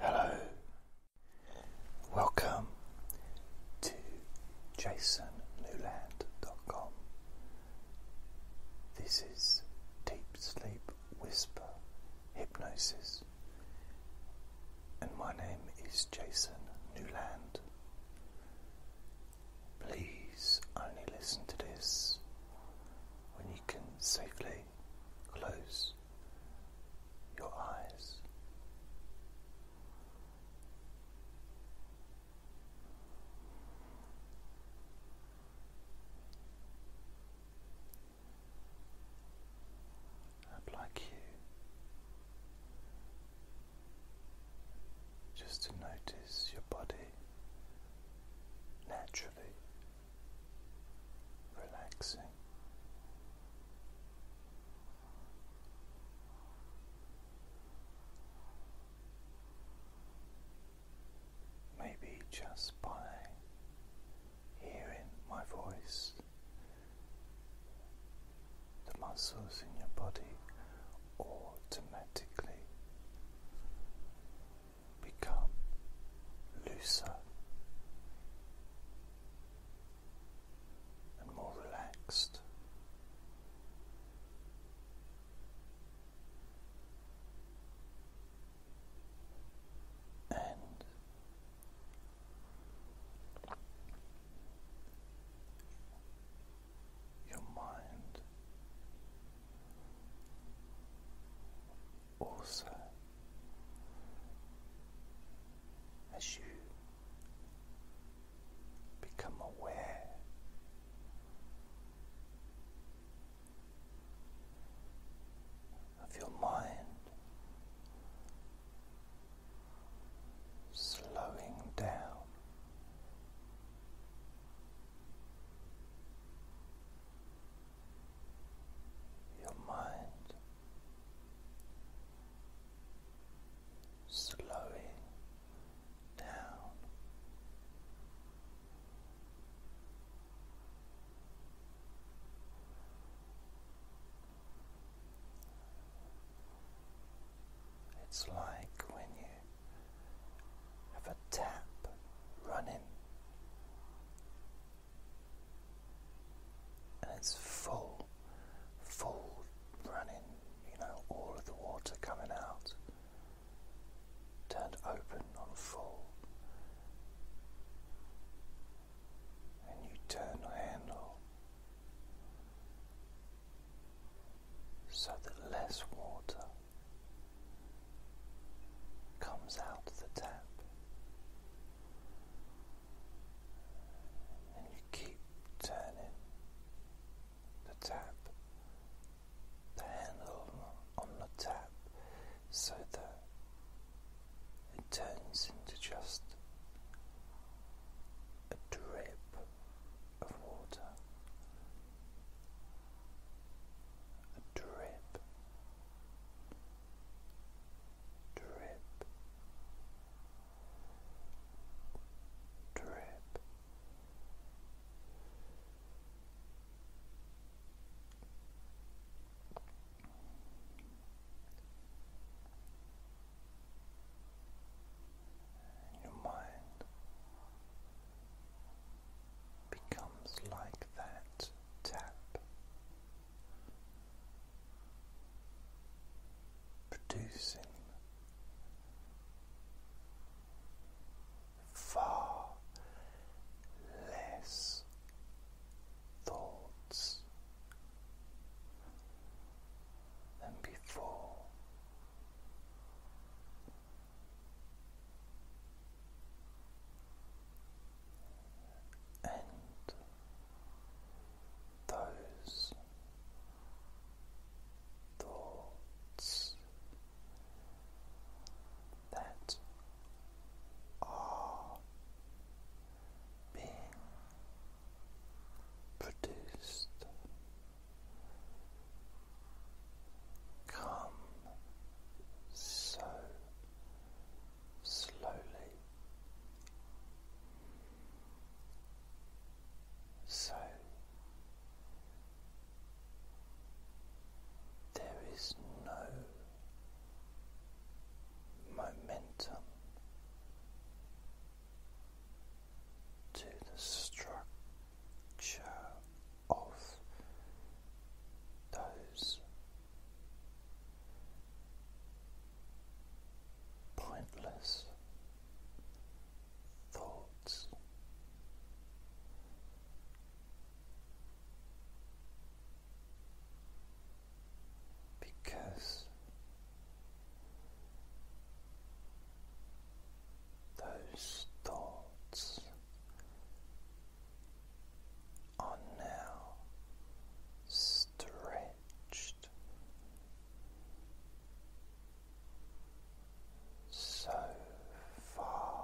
Hello, welcome to jasonnewland.com. This is Deep Sleep Whisper Hypnosis, and my name is Jason Newland. Please only listen to this when you can safely close your eyes. like you just to notice your body naturally relaxing. Maybe just by hearing my voice, the muscles in your body automatically become looser and more relaxed. And your mind also as you become aware of your mind slowing down your mind slowing down. It's like when you have a tap running and it's full, full running, you know, all of the water coming out, turned open on full. And you turn the handle so that less water comes out the tap, and you keep turning the tap, the handle on the tap, so that it turns into just a drip of water a drip, drip, drip. Your mind becomes like that tap, producing far less thoughts than before and those thoughts that are being produced come so slowly so there is no momentum to the stroke of those pointless thoughts. Because those thoughts are now stretched so far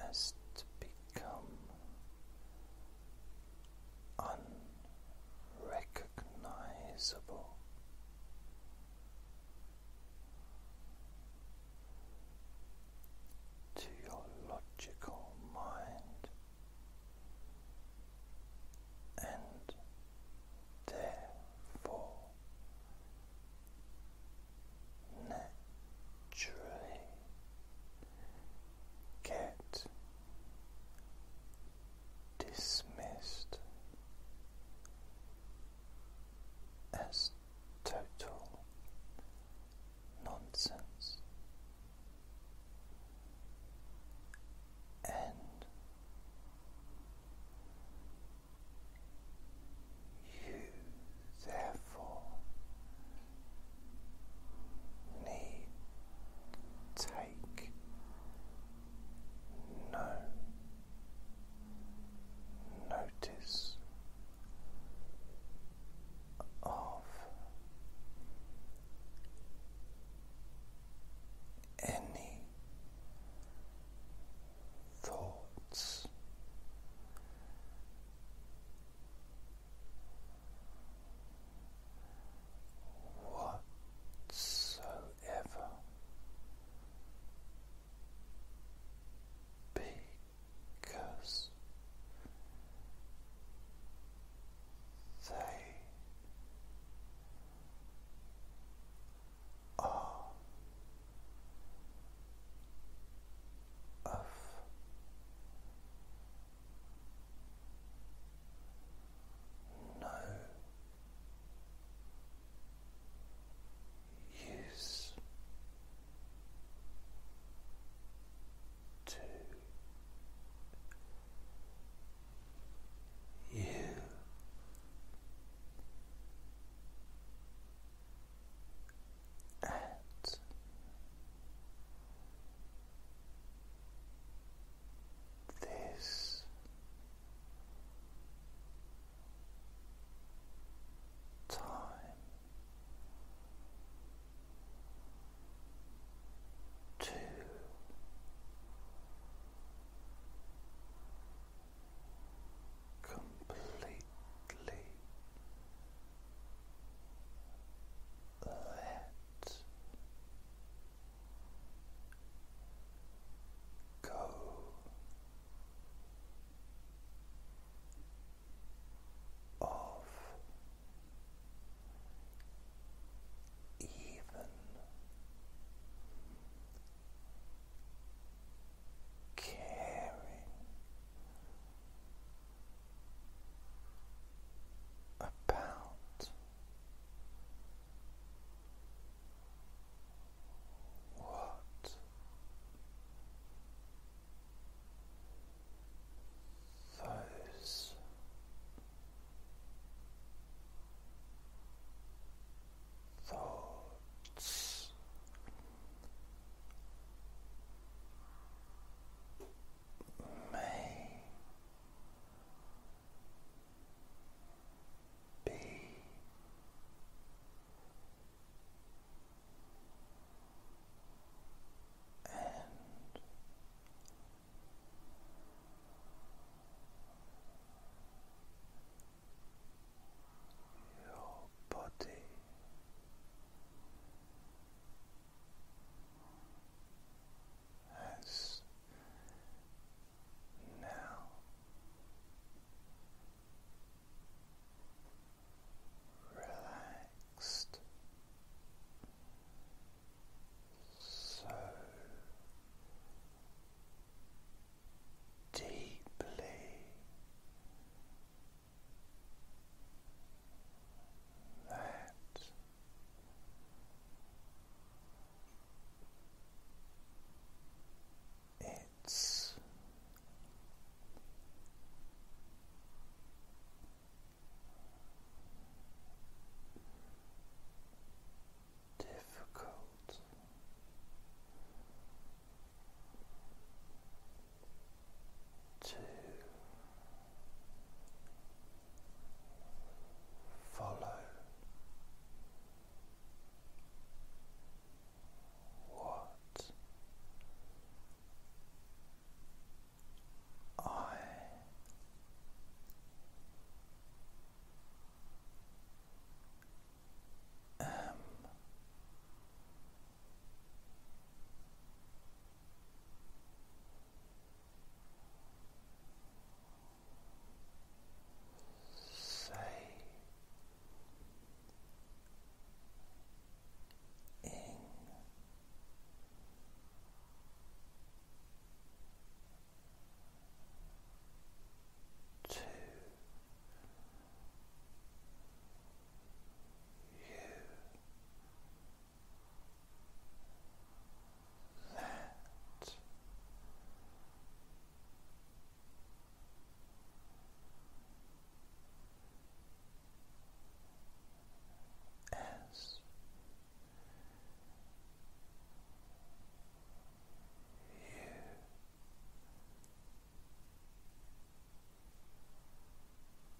as to become. Unbearable recognizable. To your logical mind, and therefore naturally get dismissed as total nonsense and you therefore need take no. Notice of any thoughts whatsoever because they are of no use to you. At this time. To completely let go. Of even caring about what those thoughts may be and your body that's now. Relaxed, so deeply that it's difficult to follow what I am Say in. To that as you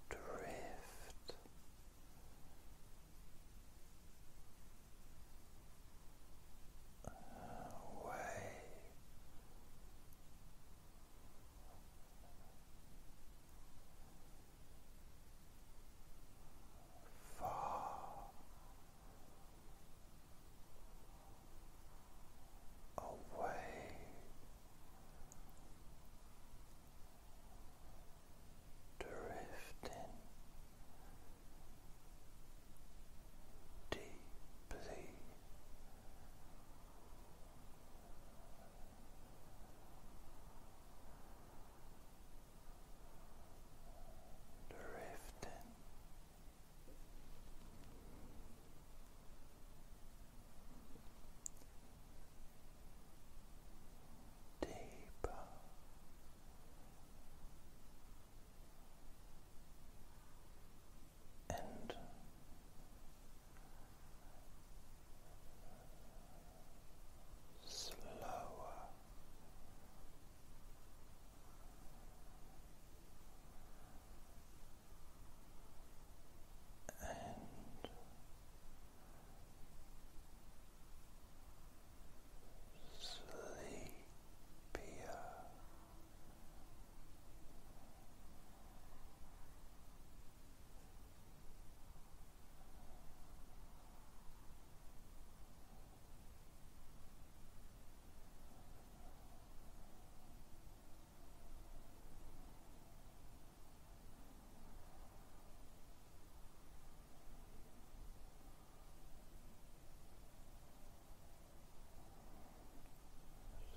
drift. Away far away drifting deeply drifting deeper. And slower, and sleepier. Sleepia.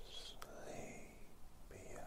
Sleepia.